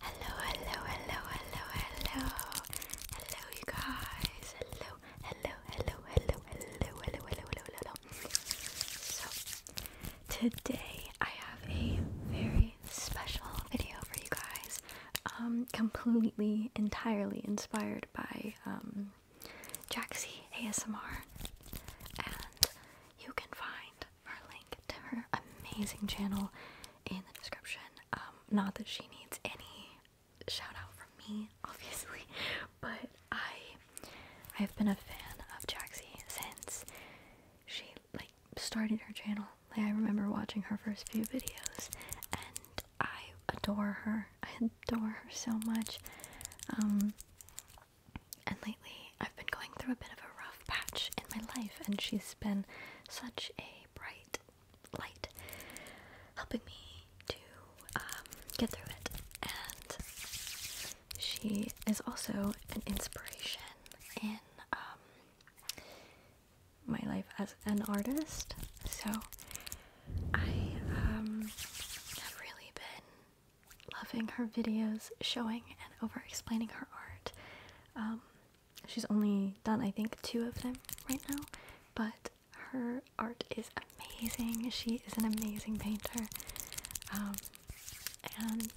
Hello, hello, hello, hello, hello. Hello, you guys. Hello, hello, hello, hello, hello, hello, hello, hello, So, today I have a very special video for you guys. Um, completely, entirely inspired by um, Jaxie ASMR. And you can find our link to her amazing channel in the description. Um, not that she needs any shout from me, obviously, but I I've been a fan of Jaxie since she like started her channel. Like I remember watching her first few videos and I adore her. I adore her so much. Um and lately I've been going through a bit of a rough patch in my life and she's been such a bright light, helping me to um, get through it. And she is also an inspiration in um, my life as an artist. So I um, have really been loving her videos, showing and over explaining her art she's only done I think two of them right now, but her art is amazing. She is an amazing painter, um, and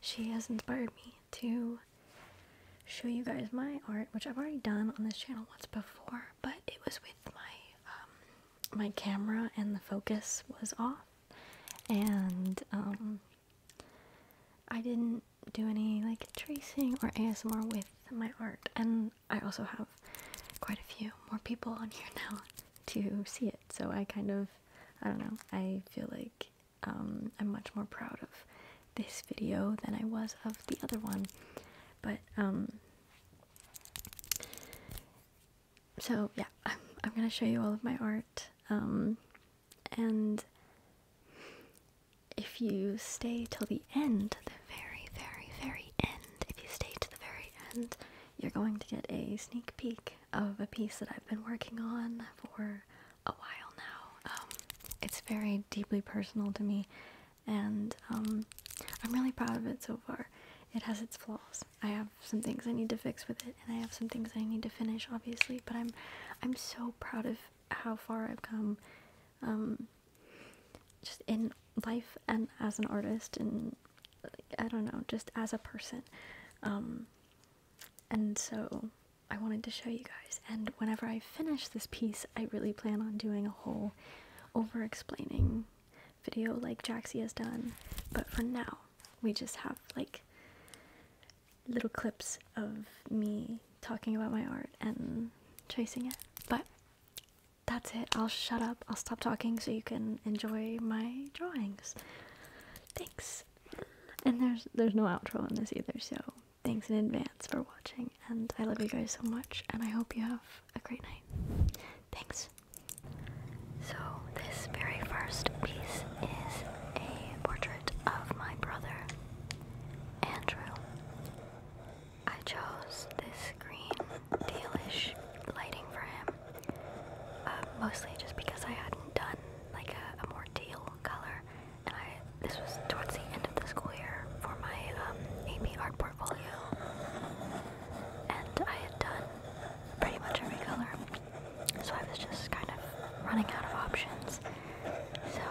she has inspired me to show you guys my art, which I've already done on this channel once before, but it was with my um, my camera and the focus was off, and um, I didn't do any like tracing or ASMR with my art, and I also have quite a few more people on here now to see it, so I kind of, I don't know, I feel like um, I'm much more proud of this video than I was of the other one, but um, so yeah, I'm, I'm gonna show you all of my art. Um, and if you stay till the end, the very, very, very end, if you stay to the very end, you're going to get a sneak peek of a piece that I've been working on for a while now. Um, it's very deeply personal to me, and um, I'm really proud of it so far. It has its flaws. I have some things I need to fix with it and I have some things I need to finish obviously but I'm I'm so proud of how far I've come um, just in life and as an artist and I don't know just as a person um, and so I wanted to show you guys and whenever I finish this piece I really plan on doing a whole over explaining video like Jaxie has done but for now we just have like little clips of me talking about my art and tracing it. But that's it. I'll shut up. I'll stop talking so you can enjoy my drawings. Thanks. And there's there's no outro in this either, so thanks in advance for watching and I love you guys so much and I hope you have a great night. Thanks. So this very first piece is a portrait of my brother, Andrew. I chose this green, tealish lighting for him, uh, mostly just because I hadn't done like a, more teal color, and I this was towards the end of the school year for my um, AP art portfolio, and I had done pretty much every color. So I was just kind of running out of options. So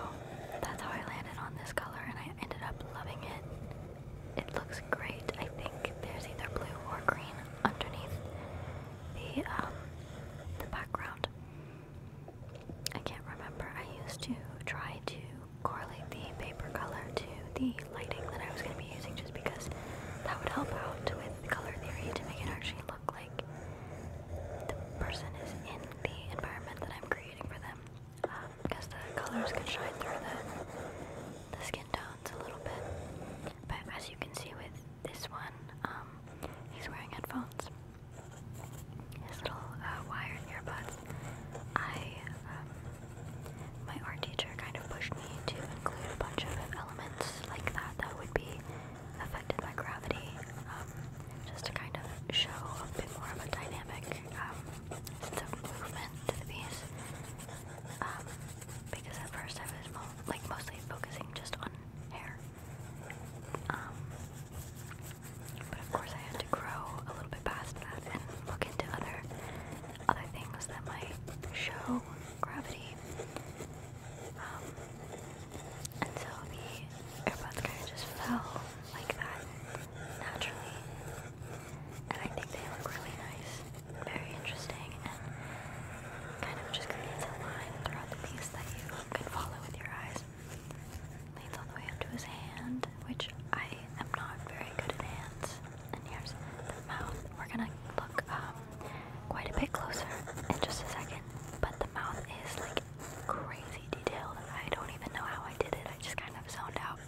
that's how I landed on this color and I ended up loving it. It looks great. I think there's either blue or green underneath the um the background. I can't remember. I used to try to correlate the paper color to the lighting that I was going to be using just because that would help out with color theory to make it actually look like the person is in the environment that I'm creating for them. Um, the colors can shine through the, skin tones a little bit. But as you can see with this one, um, he's wearing headphones. His little uh, wired earbuds. I, um, my art teacher kind of pushed me to include a bunch of elements like that that would be affected by gravity, um, just to kind of show a bit more of a dynamic um, movement to the piece. Um, because at first I was like mostly focusing just on hair. Um, but of course I had to grow a little bit past that and look into other other things that might show gravity um, and so kind of just fell like that naturally. And I think they look really nice, very interesting, and kind of just creates a line throughout the piece that you can follow with your eyes. Leads all the way up to his hand, which I am not very good at hands. And here's the mouth. We're gonna look um, quite a bit closer in just a second, but the mouth is like crazy detailed. I don't even know how I did it. I just kind of zoned out,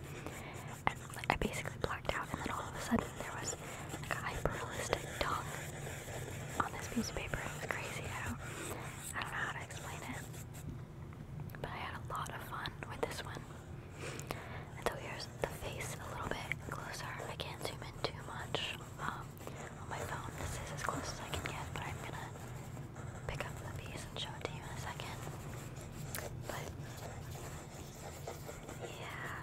and I basically blacked out. And then all of a sudden, there was like a hyperrealistic tongue on this piece of paper. It was crazy. I don't, know how to explain it, but I had a lot of fun with this one. And so here's the face a little bit closer. I can't zoom in too much. Um, on my phone. This is as close as I can get, but I'm gonna pick up the piece and show it to you in a second. But yeah,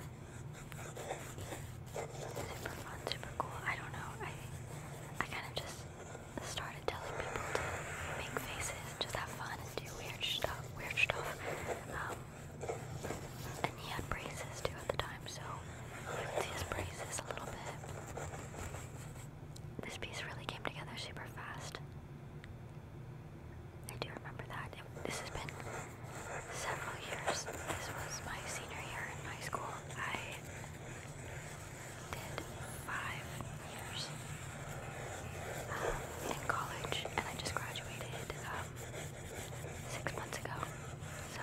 super fun, super cool. I don't know. I I kind of just started telling people to make faces, just have fun, do weird stuff. Weird stuff. Um, and he had braces too at the time, so these braces a little bit. This piece really came together super fast. I do remember that. this has been several years. This was my senior year in high school. I did five years um, in college, and I just graduated um, six months ago. So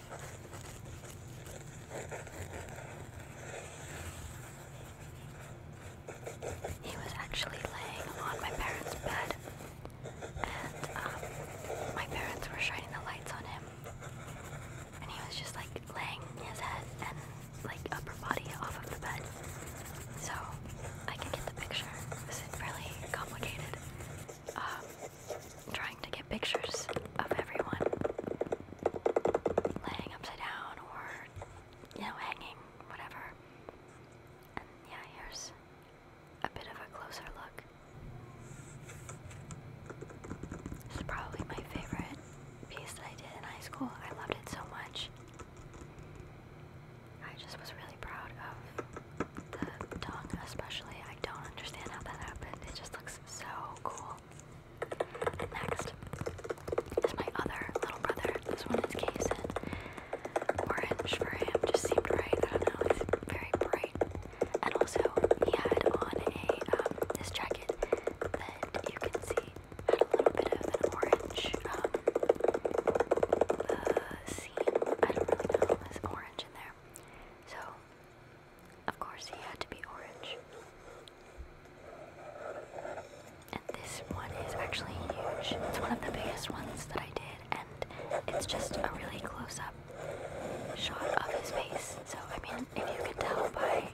He was actually laying on my parents' bed, and um, my parents were shining the lights on him, and he was just like laying his head and like upper body off of the bed. So I can get the picture. This is really complicated. Um, to get pictures of everyone laying upside down or, you know, hanging, whatever. yeah, here's a bit of a closer look. This probably my favorite piece that I did in high school. I loved it so much. I just was really proud of the tongue, especially. I don't understand how that happened. It just looks so cool. Next is my other little brother. This one is Kason. Orange for him just seemed right. I don't know. It's very bright. And also, he had on a um, this jacket that you can see had a little bit of orange um, uh, seam. I don't really know. It's orange in there. So of course, he had to be orange. And this one is actually huge. It's one of the biggest ones that I did, and it's just a really close up shot of his face. So, I mean, if you can tell by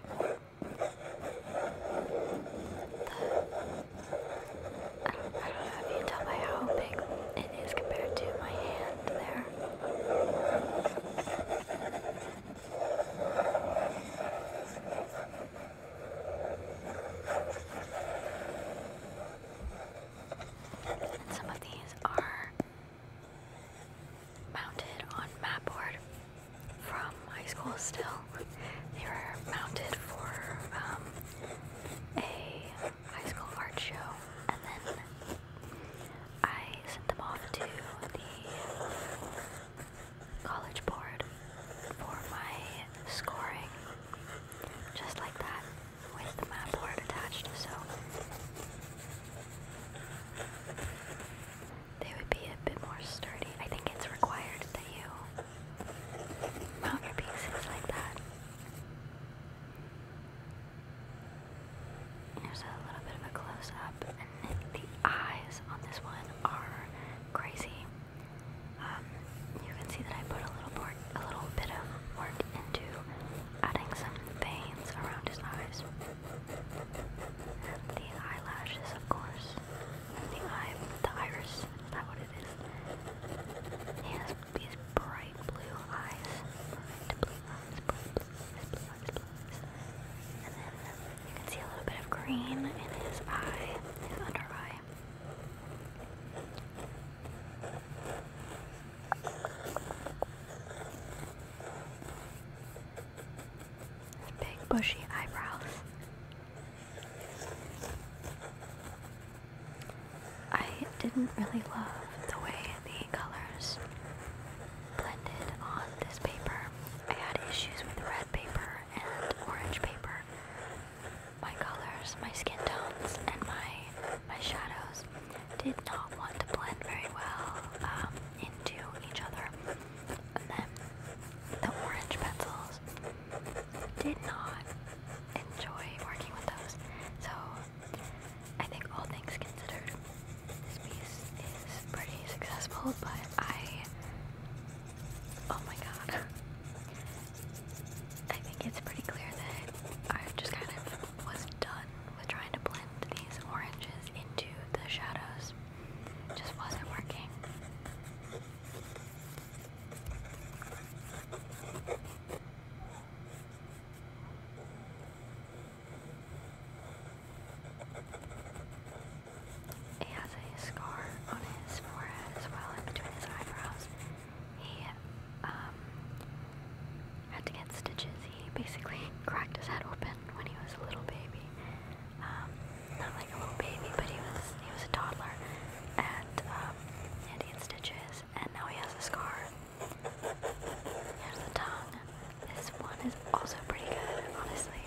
I don't know if you can tell by how big it is compared to my hand there. Some of these are mounted on map board from high school still. They were mounted for um, a high school art show and then I sent them off to the college board for my scoring, just like that, with the map board attached. So they would be a bit more sturdy. I think it's required that you mount your pieces like that. Here's a little bit of a close up, and the eyes on this one are crazy. Um, you can see that I put a little, bit of work into adding some veins around his eyes. the eyelashes, of course. The eye, the iris, is what it is? He has these bright blue eyes you can see a little bit of green in his eye, under eye. big bushy eyebrows. I didn't really love the way the colors blended on this paper. I had issues with red paper and orange paper. My colors, my skin tones, and my my shadows did not want to blend very well um, into each other. And then the orange pencils did not enjoy working with those. So I think all things considered, this piece is pretty successful, but I, oh my god, I think it's pretty clear that I just kind of was done with trying to blend these oranges into the shadows. just wasn't working. He has a scar on his forehead as well, in between his eyebrows. He um, had to get stitches. He basically cracked his head open when he was a little baby. Um, not like a little baby, but he was he was a toddler, and um, and he stitches. And now he has a scar there's the tongue. This one is also pretty good, honestly.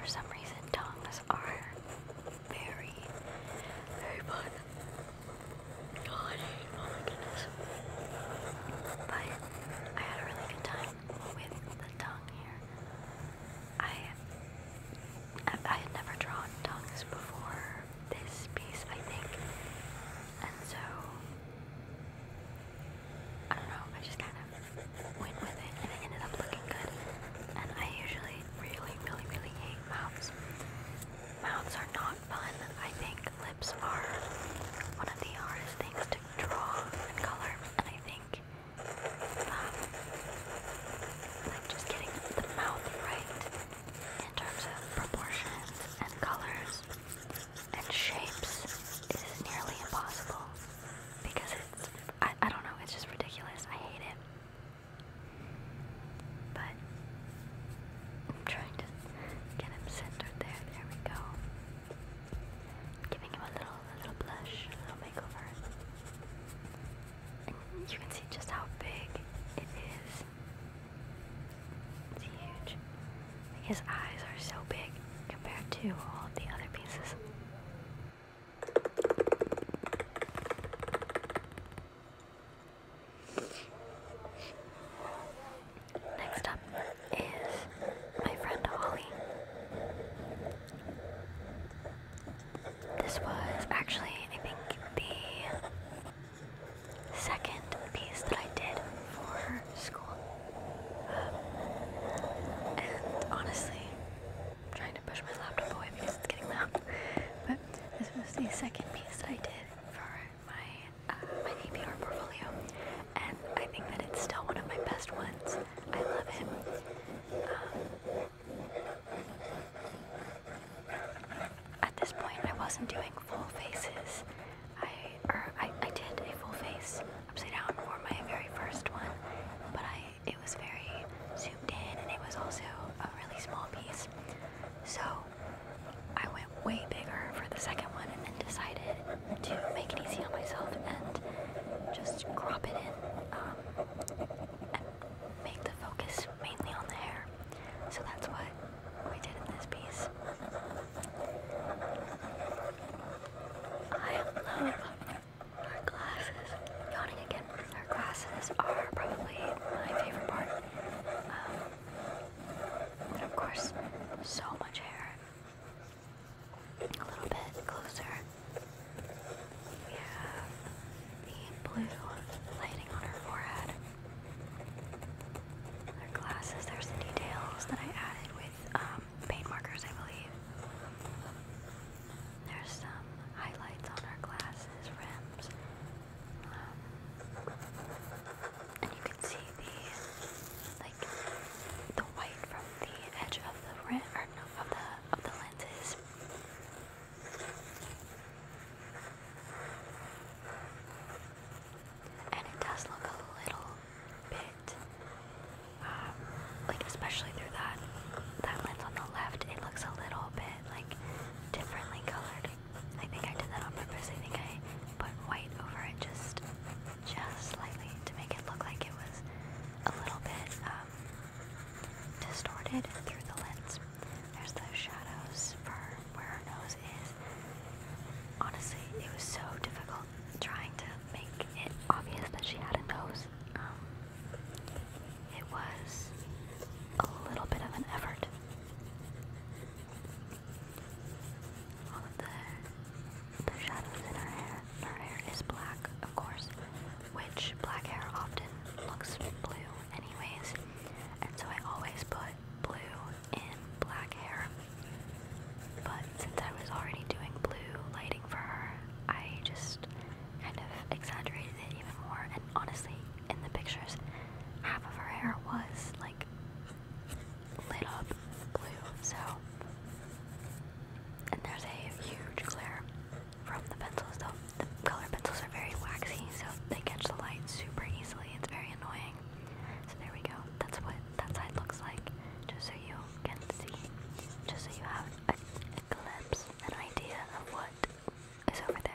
For some reason, tongues are very, very fun. God, oh my goodness. But I had a really good time with the tongue here. I, I had never drawn tongues before this piece, I think. And so, I don't know, I just kind of went with it and it ended up looking good. And I usually really, really, really hate mouths. Mouths are not fun. I think lips are one of the hardest things to draw and color. And I think, um, like just getting the mouth right in terms of proportions and colors and shapes is nearly impossible because it's I, I don't know it's just ridiculous I hate it but I'm trying to get him centered there there we go giving him a little little blush little makeover you can see just how big it is it's huge his eyes are so big compared to all of the other pieces. Next up is my friend Holly. This was actually, I think, the second piece that I did for school honestly, I'm trying to push my laptop away because it's getting loud. But this was the second piece that I did for my uh, my APR portfolio, and I think that it's still one of my best ones. I love it. Um, at this point, I wasn't doing full faces. I or er, I, I did a full face upside down for my very first one, but I it was very zoomed in and it was also a really small piece. So I went way bigger for the second one and then decided to make it easy on myself and just crop it in um, and make the focus mainly on the hair. So that's why we did in this piece. I love our glasses. Yawning again. Our glasses are probably my favorite part. and um, of course, so much hair. A little bit closer. We have the blue lighting on her forehead. Her glasses, there's details that I added with um, paint markers, I believe. There's some highlights on our glasses, rims. Um, and you can see the like the white from the edge of the rim or no, of the of the lenses and it does look a little bit, um, like especially through that that lens on the left, it looks a little bit like differently colored. I think I did that on purpose. I think I put white over it just just slightly to make it look like it was a little bit um, distorted through the lens. There's those shadows for where our nose is honestly, it was so difficult trying to make it obvious that she had a nose. Um, it was a little bit of an effort. All of the, the shadows in her hair. Her hair is black, of course, which black hair often looks blue anyways, and so I always put blue and black hair. But since I was already doing blue lighting for her, I just kind of exaggerated it even more. And honestly, in the pictures, half of her hair was like lit up blue. So, and there's a huge glare from the pencils, though. The color pencils are very waxy, so they catch the light super easily. It's very annoying something. So there we go. That's what that side looks like. Just so you can see. Just so you have a, a an idea of what is over there.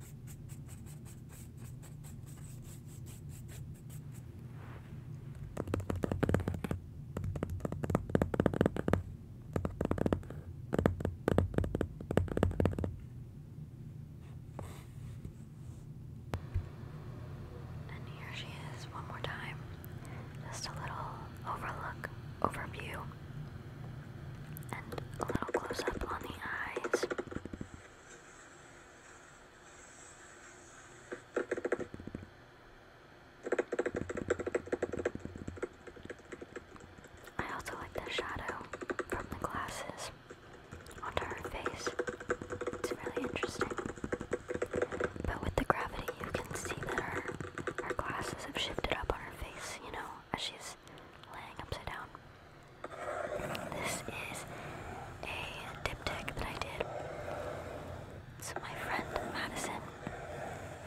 And here she is one more time. Just a little overlook, overview and a little close up on the eyes. I also like the shadow from the glasses onto her face. It's really interesting. But with the gravity, you can see that her, her glasses have shifted up on her face, you know, as she's laying upside down. This is a diptych that I did. So my friend Madison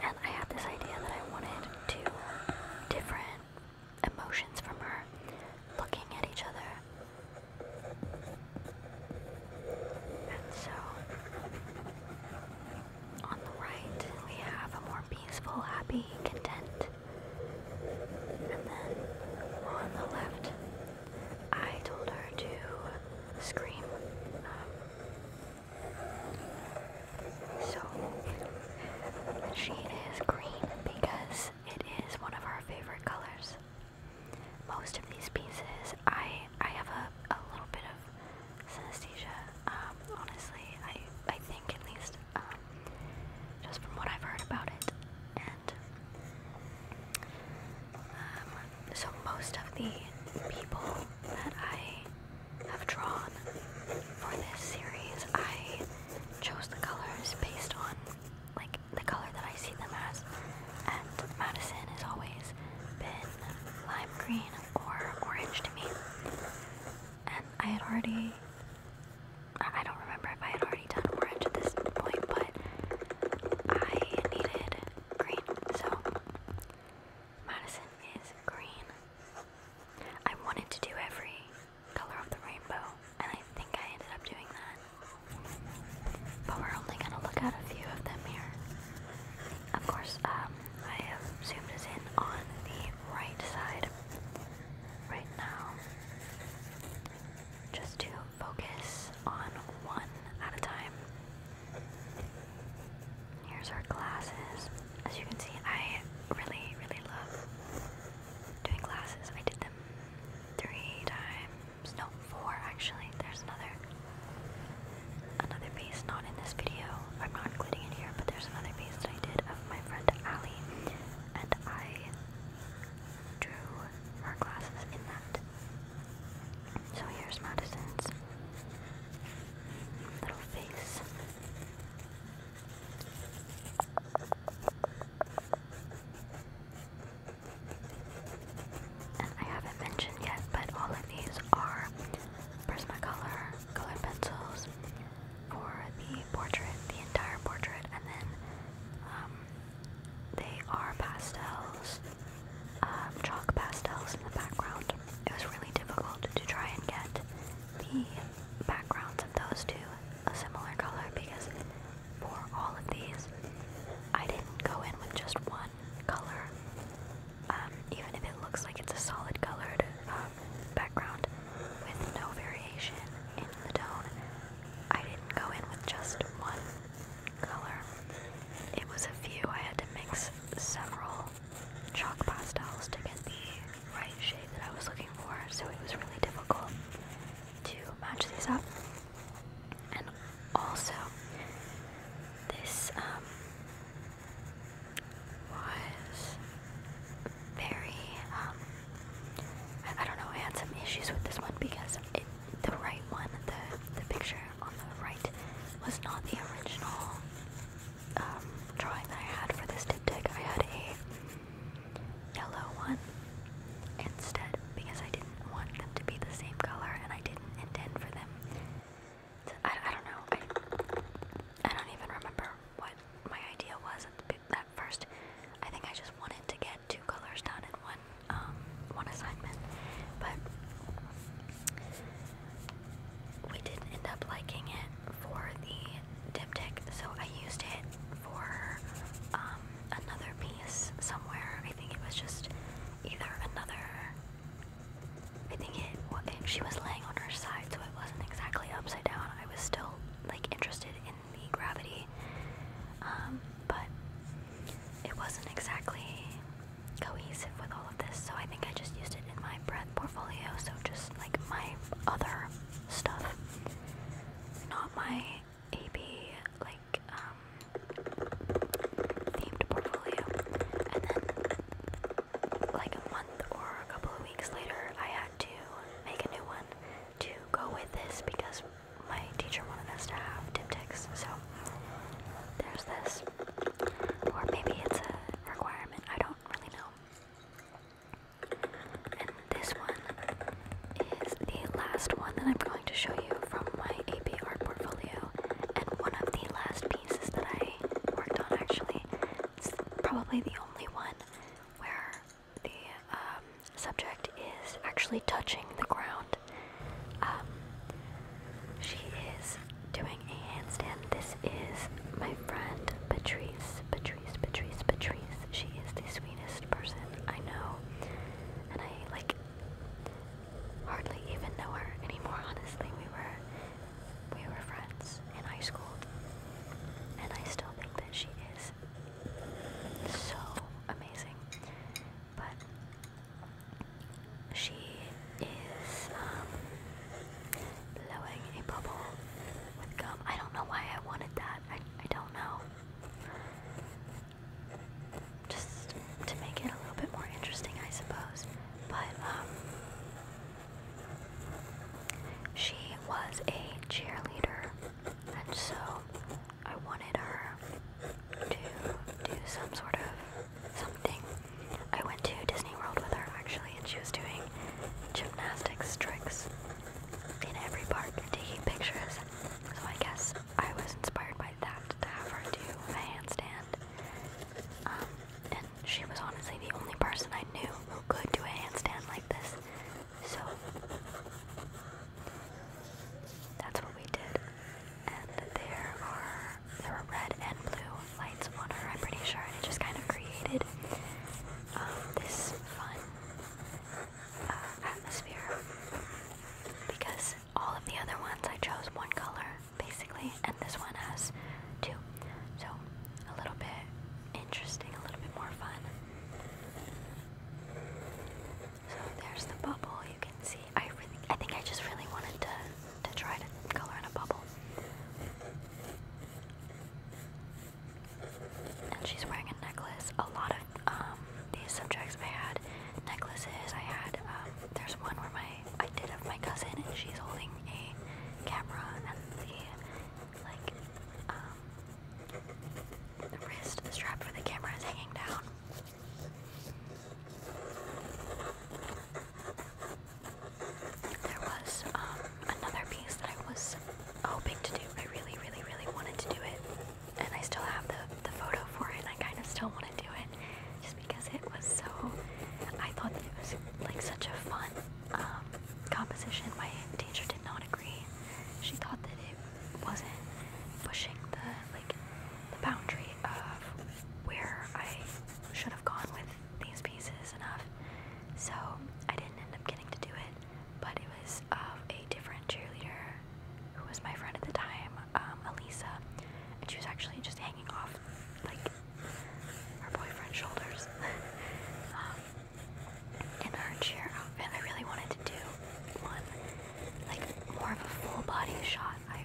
and I had this idea that I wanted two different emotions from her looking at each other. And so on the right we have a more peaceful, happy, content and then on the left, I told her to scream. so she is green because it is one of our favorite colors. Most of these pieces, I I have a, a little bit of synesthesia. Um, honestly, I I think at least um, just from what I've heard about it. And um, so most of the people that I have drawn for this series, I chose the colors based on like the color that I see them as. And Madison has always been lime green or orange to me. And I had already I don't remember if I had already done orange at this point, but I needed green, so Madison is green. I wanted to do every color of the rainbow, and I think I ended up doing that. But we're only gonna look at a few of them here. Of course, um, I have zoomed in on the right side right now just to focus on one at a time. Here's our glasses. As you can see, I really, really love doing glasses. I did them three times. No, four actually. There's another another piece not in this video. I'm not including it here, but there's another piece of my friend Allie, and I drew her glasses in that. So here's Madison's little face. And I haven't mentioned yet, but all of these are Prismacolor colored pencils for the portrait, the entire portrait, and then um, they are pastels, um, chalk pastels in the background. It was really difficult to try and get the backgrounds of those two a similar color because for all of these, I didn't go in with just one color. Um, even if it looks like it's a solid colored uh, background with no variation in the tone. I didn't go in with just one color. It was a few. I had to mix several chalk pastels to get the right shade that I was looking for, so it was really difficult to match these up. And also, this um, was very, um, I, don't know, I had some issues with this one because it, the right one, the, the picture on the right, was not the original um, drawing that I had for this diptych. I had a yellow one instead because I didn't want them to be the same color and I didn't intend for them. I, I don't know. I, I don't even remember what my idea was at, the, at first. I think I just wanted to get two colors done in one um, one assignment, but we didn't end up liking it for the diptych, so I used it for um, another piece somewhere. I think it was just either another. I think it. Well, it she was laying on her side, so it wasn't exactly upside down. I was still like interested in the gravity, um, but it wasn't exactly cohesive with all of this. So I think I just used it in my breath portfolio. So just like my other stuff, not my AP like um, themed portfolio. And then like a month or a couple of weeks later, I had to make a new one to go with this because my teacher wanted us to have diptychs, so there's this. Or maybe it's a requirement, I don't really know. And this one is the last one that I'm going to show you from my AP art portfolio, and one of the last pieces that I worked on actually. It's probably the only one where the um, subject is actually touching the ground. Um, she is doing a handstand. This is my friend Patrice. Patrice, Patrice, Patrice. She is the sweetest person I know. And I, like, hardly even know her anymore, honestly. We were we were friends in high school, and I still think that she is so amazing. But she is um, blowing a bubble with gum. I don't know why I wanted that. I, I don't know. Just to make it a little bit more interesting, I suppose. But um, she was a cheerleader, and so I wanted her to do some sort of something. I went to Disney World with her actually, and she was doing gymnastics tricks in every park and taking pictures. So I guess I was inspired by that to have her do a handstand. Um, she was honestly the only person I knew who could do a handstand like this. So that's what we did. And there are there were red and blue lights on her, I'm pretty sure, and it just kind of created um, this fun uh, atmosphere. Because all of the other ones I chose one color basically, and this one has two. So a little bit interesting, a little bit more fun. So there's the bubble. You can see. I really, I think I just really wanted to to try to color in a bubble. And she's wearing a necklace. A lot of um, these subjects I had necklaces. I had um, there's one where my I did of my cousin and she's holding a camera and the like um, the wrist strap for the camera is hanging down. There was um, another piece that I was hoping to do. I really, really, really wanted to do it, and I still have the the photo for it. And I kind of still want to do it, just because it was so. I thought that it was like such a fun um, composition, my teacher did not agree. She thought that it wasn't pushing the like the boundary of where I should have gone with these pieces enough. So I didn't end up getting to do it, but it was of a different cheerleader who was my friend at the time, um, Elisa, and she was actually just hanging off like her boyfriend's shoulders um, in her cheer outfit. I really wanted to do one like more of a full body shot. I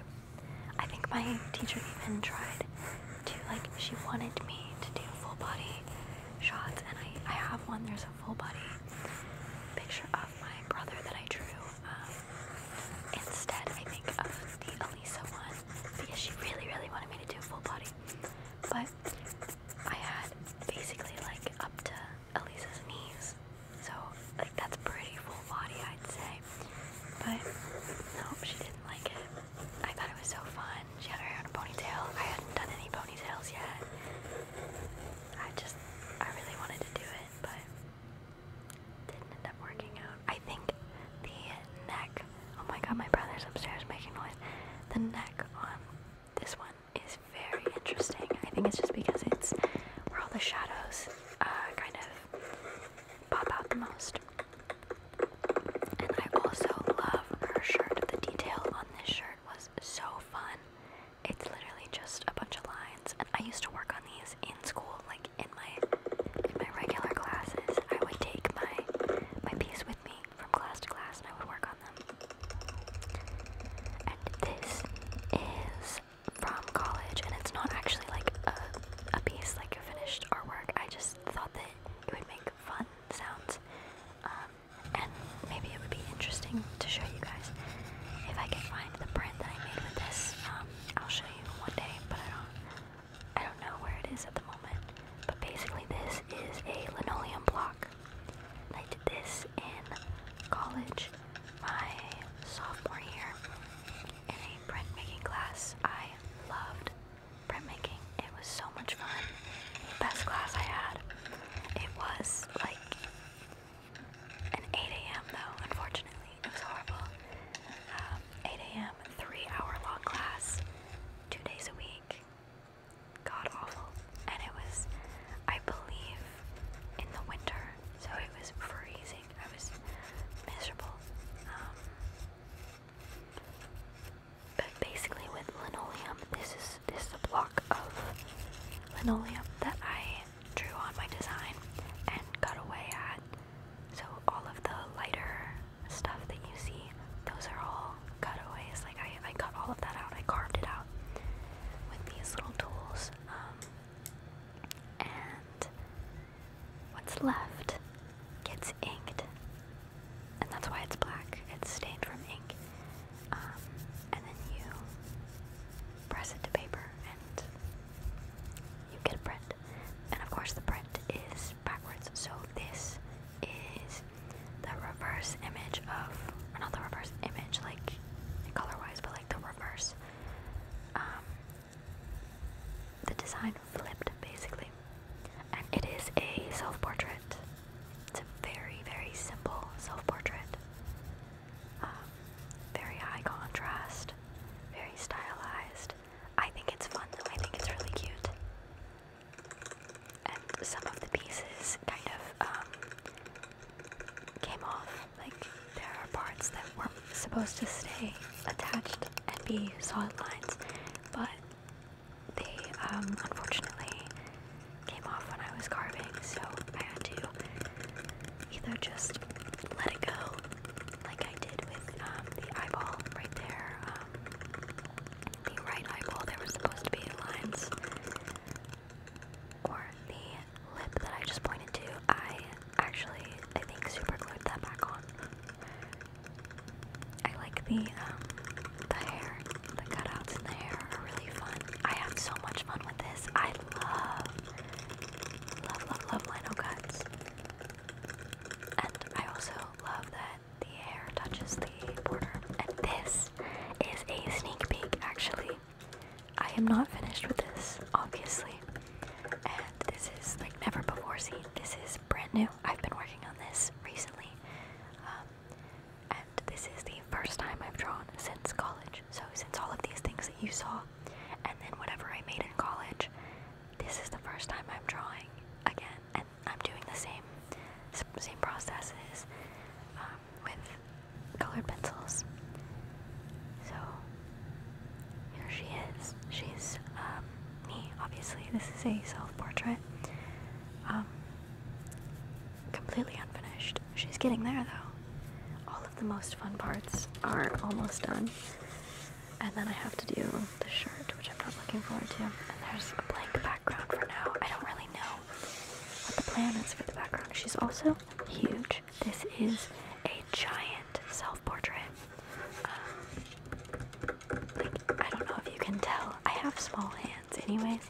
I think my teacher even tried to like she wanted me to do full body shots and I, I have one. There's a full body picture of my brother that I drew um, instead I think of the Elisa one because she really really wanted me to do a full body. But I had basically like up to Elisa's knees. So like that's pretty full body I'd say. But no, she didn't like it. I thought it was so fun. She had her hair in a ponytail. I hadn't done any ponytails yet. I just I really wanted to do it, but didn't end up working out. I think the neck Oh my god, my brother's upstairs making noise. The neck on this one is very interesting. I think it's just because it's where all the shadows uh, kind of pop out the most. And I also love her shirt. The detail on this shirt was so fun. It's literally just a bunch of lines, and I used to work on these in school, like in my in my regular classes. I would take my my piece with me from class to class and I would work on them. And this is from college and it's not actually like a, a piece like your finished artwork. I just thought that it would make fun sounds um, and maybe it would be interesting to show you guys. If I can find the print that I made with this, um, I'll show you one day, but I don't I don't know where it is at the moment, but basically this is a linoleum block. I did this in college, my sophomore year, in a printmaking class. I loved printmaking. It was so much fun. The best class I had. It was like an 8 a.m. though, unfortunately. It was horrible. Um, 8 a.m., three hour long class, two days a week god awful. And it was, I believe, in the winter, so it was freezing. I was miserable. Um, but basically, with linoleum, this is this is a block of linoleum that I drew on my design and cut away at. So all of the lighter stuff that you see, those are all cutaways. Like I, I cut all of that out. I carved it out with these little tools. Um, and what's left gets inked, and that's why it's black. It's stained from ink. Um, and then you press it to paper, and you get a print. And of course, the print is backwards. So this is the reverse image of, not the reverse image, like color-wise, but like the reverse. Um, the design flipped basically, and it is a self-portrait. It's a very, very simple self-portrait. Um, very high contrast, very stylized. I think it's fun though. I think it's really cute and some of the pieces kind of um, came off. Like there are parts that were supposed to stay attached and be solid lines, but they um, unfortunately came off when I was carving, so I had to either just let it go, like I did with um, the eyeball right there, the right eyeball there was supposed to be lines, or the lip that I just pointed to, I actually, I think, super glued that back on. I like the, um, the hair, the cutouts in the hair are really fun. I have so much fun with this. I love, love, love, love lino cuts. And I also love that the hair touches the border. And this is a sneak peek, actually. I am not finished with this, obviously. And this is like never before seen. This is brand new. I've been working on this recently. Um, and this is the first time I've drawn since college. So, since all of these things that you saw, and then whatever I made in college, this is the first time I'm drawing again. And I'm doing the same same processes um, with colored pencils. So here she is. She's um, me, obviously. This is a self-portrait. Um, completely unfinished. She's getting there though. All of the most fun parts are almost done. And then I have to do the shirt, which I'm not looking forward to. And there's a blank background for now. I don't really know what the plan is for the background. She's also huge. This is a giant self-portrait. Um, like, I don't know if you can tell. I have small hands anyways,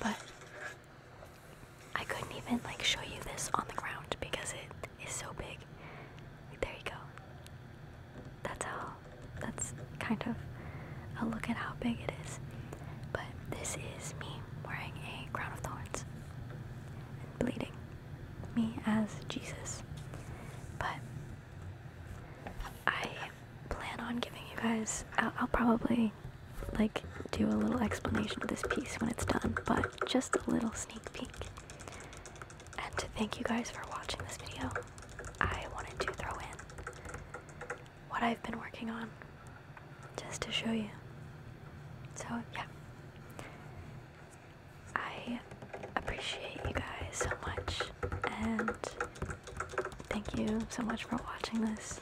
but I couldn't even like show you this on the ground because it is so big. There you go. That's how that's kind of a look at how big it is. But this is me wearing a crown of thorns and bleeding. Me as Jesus. But I plan on giving you guys, I'll probably like do a little explanation of this piece when it's done, but just a little sneak peek and to thank you guys for watching this video. I wanted to throw in what I've been working on just to show you. So, yeah. I appreciate you guys so much and thank you so much for watching this.